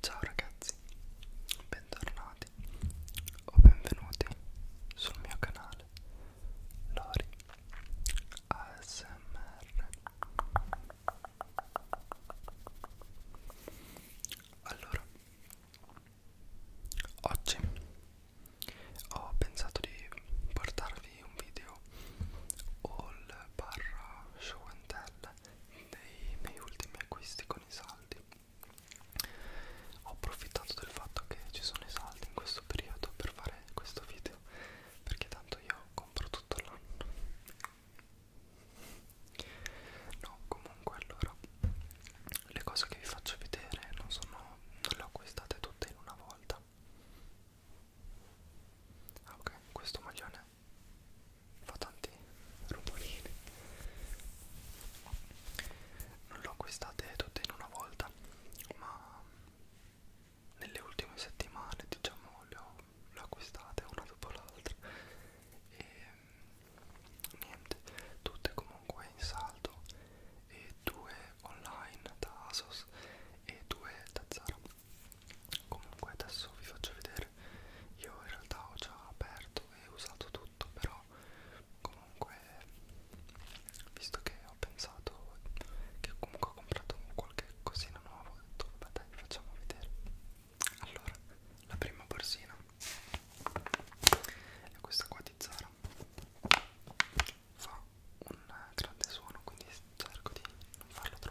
Ciao ragazzi, bentornati o benvenuti sul mio canale Lori ASMR. Allora, oggi ho pensato di portarvi un video all barra show and tell dei miei ultimi acquisti con i saldi ho approfittato del fatto che ci sono i saldi in questo periodo per fare questo video perché tanto io compro tutto l'anno no comunque allora le cose che vi faccio vedere non sono non le ho acquistate tutte in una volta ah, ok questo maglione fa tanti rumorini non l'ho acquistate tutte in una volta ma nelle ultime settimane diciamo le ho, le ho acquistate una dopo l'altra e niente tutte comunque in saldo e due online da Asos e due da Zara comunque adesso vi faccio vedere io in realtà ho già aperto e usato tutto però comunque visto che ho pensato che comunque ho comprato qualche cosina nuova ho detto vabbè dai facciamo vedere allora la prima borsina è questa qua di Zara fa un grande suono quindi cerco di non farlo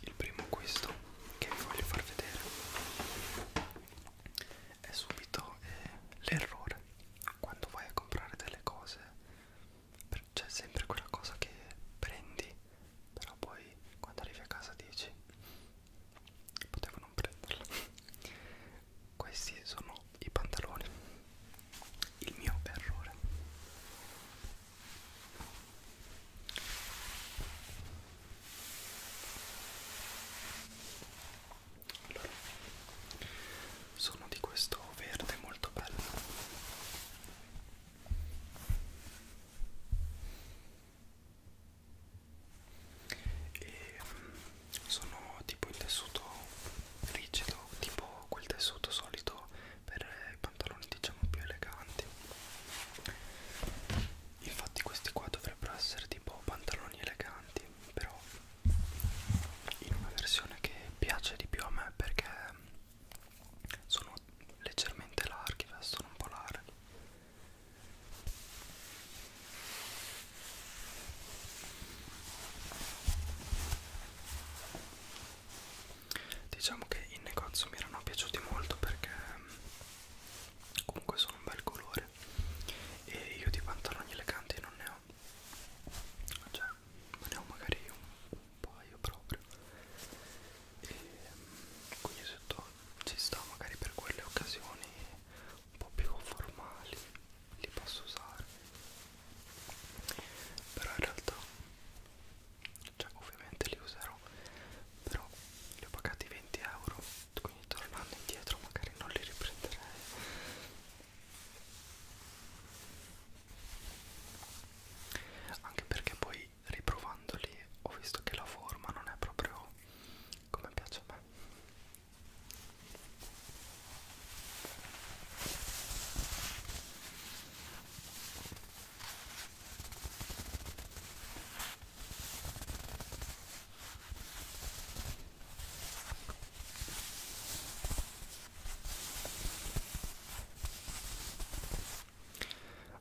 il primo acquisto che vi voglio far vedere è subito eh, l'errore quando vai a comprare delle cose c'è sempre quella cosa che prendi però poi quando arrivi a casa dici potevo non prenderla questi sono i pantaloni il mio errore allora, sono di questo verde molto bello e mm, sono tipo in tessuto rigido tipo quel tessuto solito per i pantaloni diciamo più eleganti infatti questi qua dovrebbero essere tipo pantaloni eleganti però in una versione che piace di più a me perché sono leggermente larghi, eh, sono un po' larghi. Diciamo che in negozio mi erano piaciuti molto perché comunque sono un bel colore e io di pantaloni eleganti non ne ho cioè ne ho magari un, un paio proprio e mm, quindi sotto ci sta magari per quelle occasioni un po' più formali li posso usare però in realtà cioè ovviamente li userò però li ho pagati 20 euro quindi tornando indietro magari non li riprenderei anche perché poi riprovandoli ho visto che la forma non è proprio come piace a me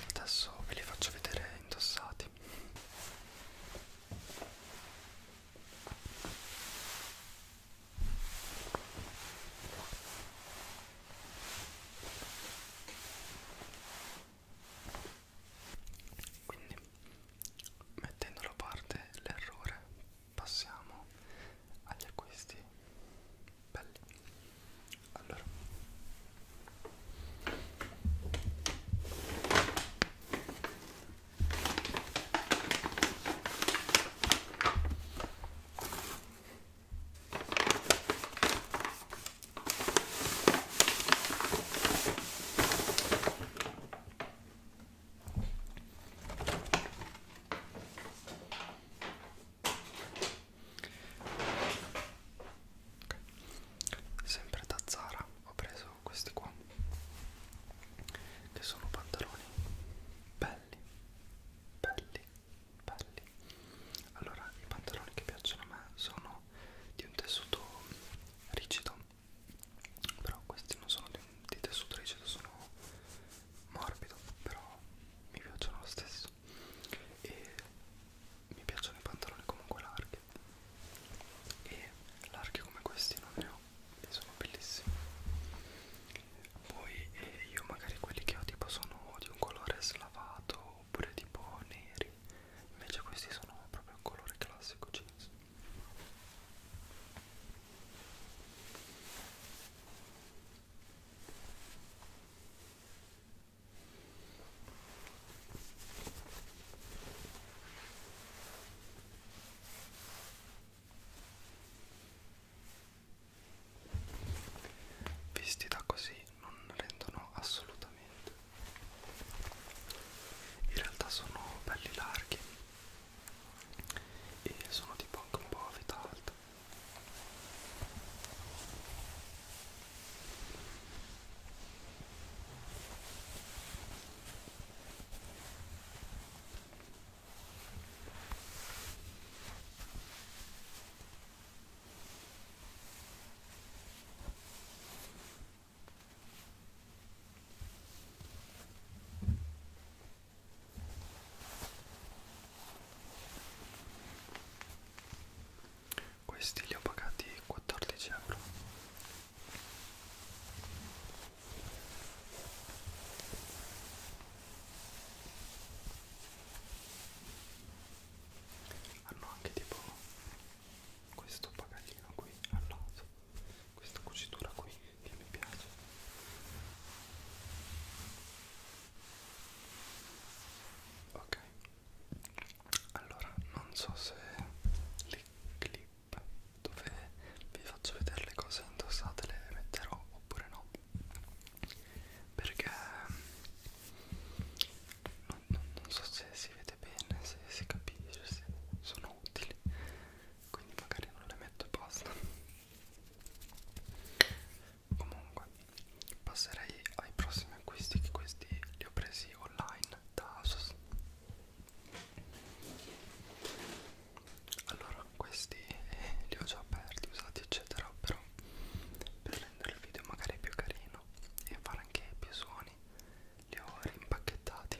Adesso ve li faccio vedere indossati. Quindi mettendo da parte l'errore passiamo agli acquisti belli allora Okay. Sempre da Zara ho preso questi qua che sono pantaloni belli, belli, belli. Allora, i pantaloni che piacciono a me sono di un tessuto rigido però questi non sono di, di tessuto rigido sono morbido però mi piacciono lo stesso e mi piacciono i pantaloni comunque larghi e larghi come questi non ne ho e sono bellissimi poi eh, io magari quelli che ho tipo sono di un colore slavato oppure tipo neri invece questi sono proprio un colore classico jeans Visti da così non rendono assolutamente in realtà sono belli larghi e sono tipo anche un po' a vita alta questi li ho pagati 14 euro. Hanno anche tipo questo pagaglino qui al lato questa cucitura qui che mi piace ok allora non so se le clip dove vi faccio vedere le cose indossate le metterò oppure no perché non, non, non so se si vede bene, se si capisce, se sono utili quindi magari non le metto e basta comunque passerei ai prossimi acquisti che questi li ho presi online da Asos allora questi eh, li ho già aperti, usati eccetera però per rendere il video magari più carino e fare anche più suoni buoni li ho rimpacchettati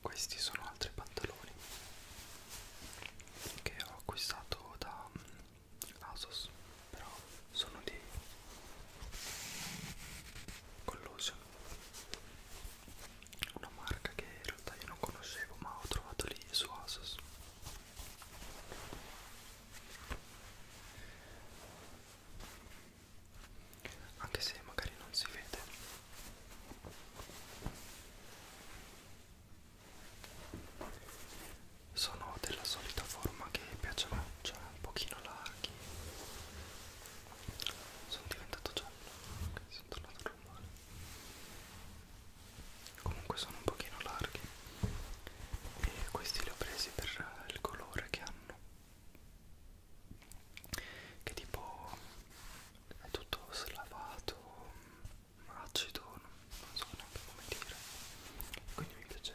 Questi sono altri pantaloni che ho acquistato da mm, Asos, però sono di Collusion, una marca che in realtà io non conoscevo ma ho trovato lì su Asos anche se magari non si vede sono della solita forma che piace cioè un pochino larghi sono diventato giallo okay, sono tornato normale comunque sono un pochino larghi e questi li ho presi per il colore che hanno che tipo è tutto slavato acido non, non so neanche come dire quindi mi piace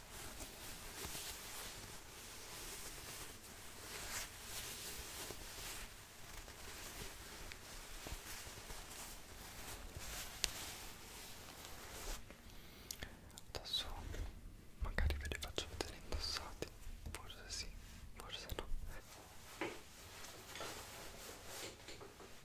Adesso magari ve li faccio vedere indossati, forse sì, forse no.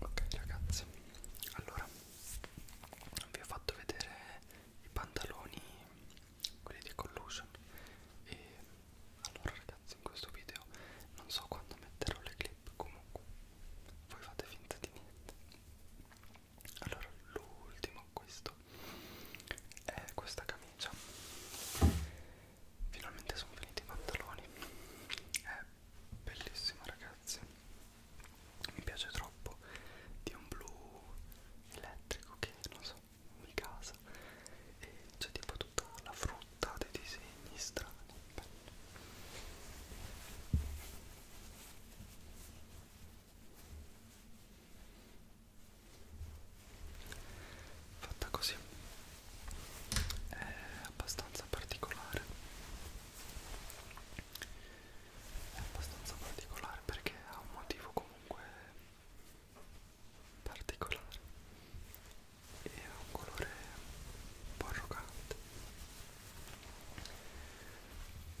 ok ragazzi allora vi ho fatto vedere i pantaloni quelli di collusion e allora ragazzi in questo video non so quando metterò le clip comunque voi fate finta di niente allora l'ultimo acquisto è questa camicia finalmente sono finiti i pantaloni è bellissima ragazzi mi piace troppo di un blu elettrico che non so mi casa e c'è tipo tutta la frutta dei disegni strani Bello. fatta così è abbastanza particolare è abbastanza particolare perché ha un motivo comunque particolare e ha un colore un po' arrogante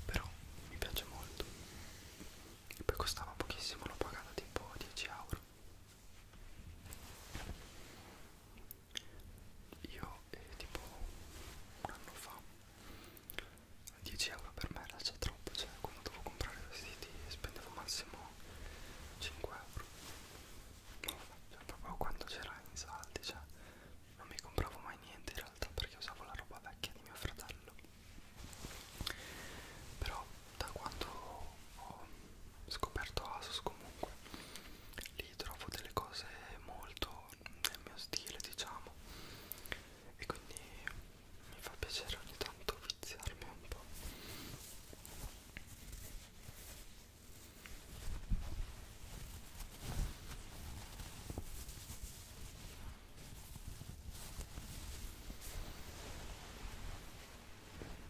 però mi piace molto e poi costava pochissimo l'ho pagata tipo 10 euro io eh, tipo un anno fa 10 euro per me era già troppo cioè quando dovevo comprare vestiti spendevo massimo 5 euro no, cioè, proprio quando c'era in saldi cioè non mi compravo mai niente in realtà perché usavo la roba vecchia di mio fratello però da quando ho scoperto Asus comunque lì trovo delle cose molto nel mio stile diciamo e quindi mi fa piacere ogni tanto viziarmi un po'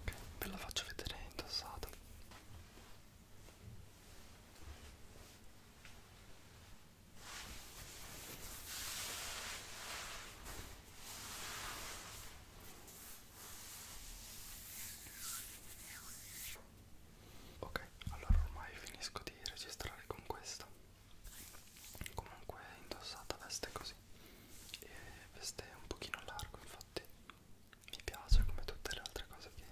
ok ve la faccio vedere indossata ok allora ormai finisco di registrare con questa comunque indossata veste così così e questo è un pochino largo infatti mi piace come tutte le altre cose che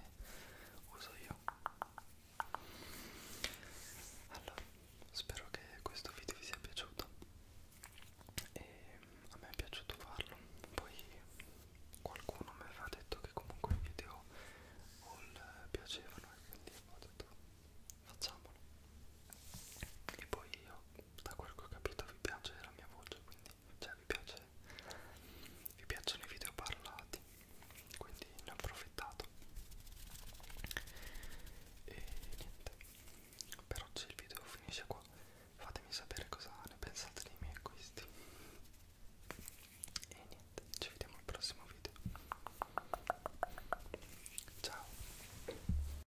uso io allora spero che questo video vi sia piaciuto e a me è piaciuto farlo poi qualcuno mi aveva detto che comunque i video all piacevano e quindi ho detto facciamolo e poi io da quel che ho capito vi piace la mia voce quindi cioè vi piace vi piacciono i video parlati quindi ne ho approfittato e niente per oggi il video finisce qua fatemi sapere cosa ne pensate dei miei acquisti e niente ci vediamo al prossimo video ciao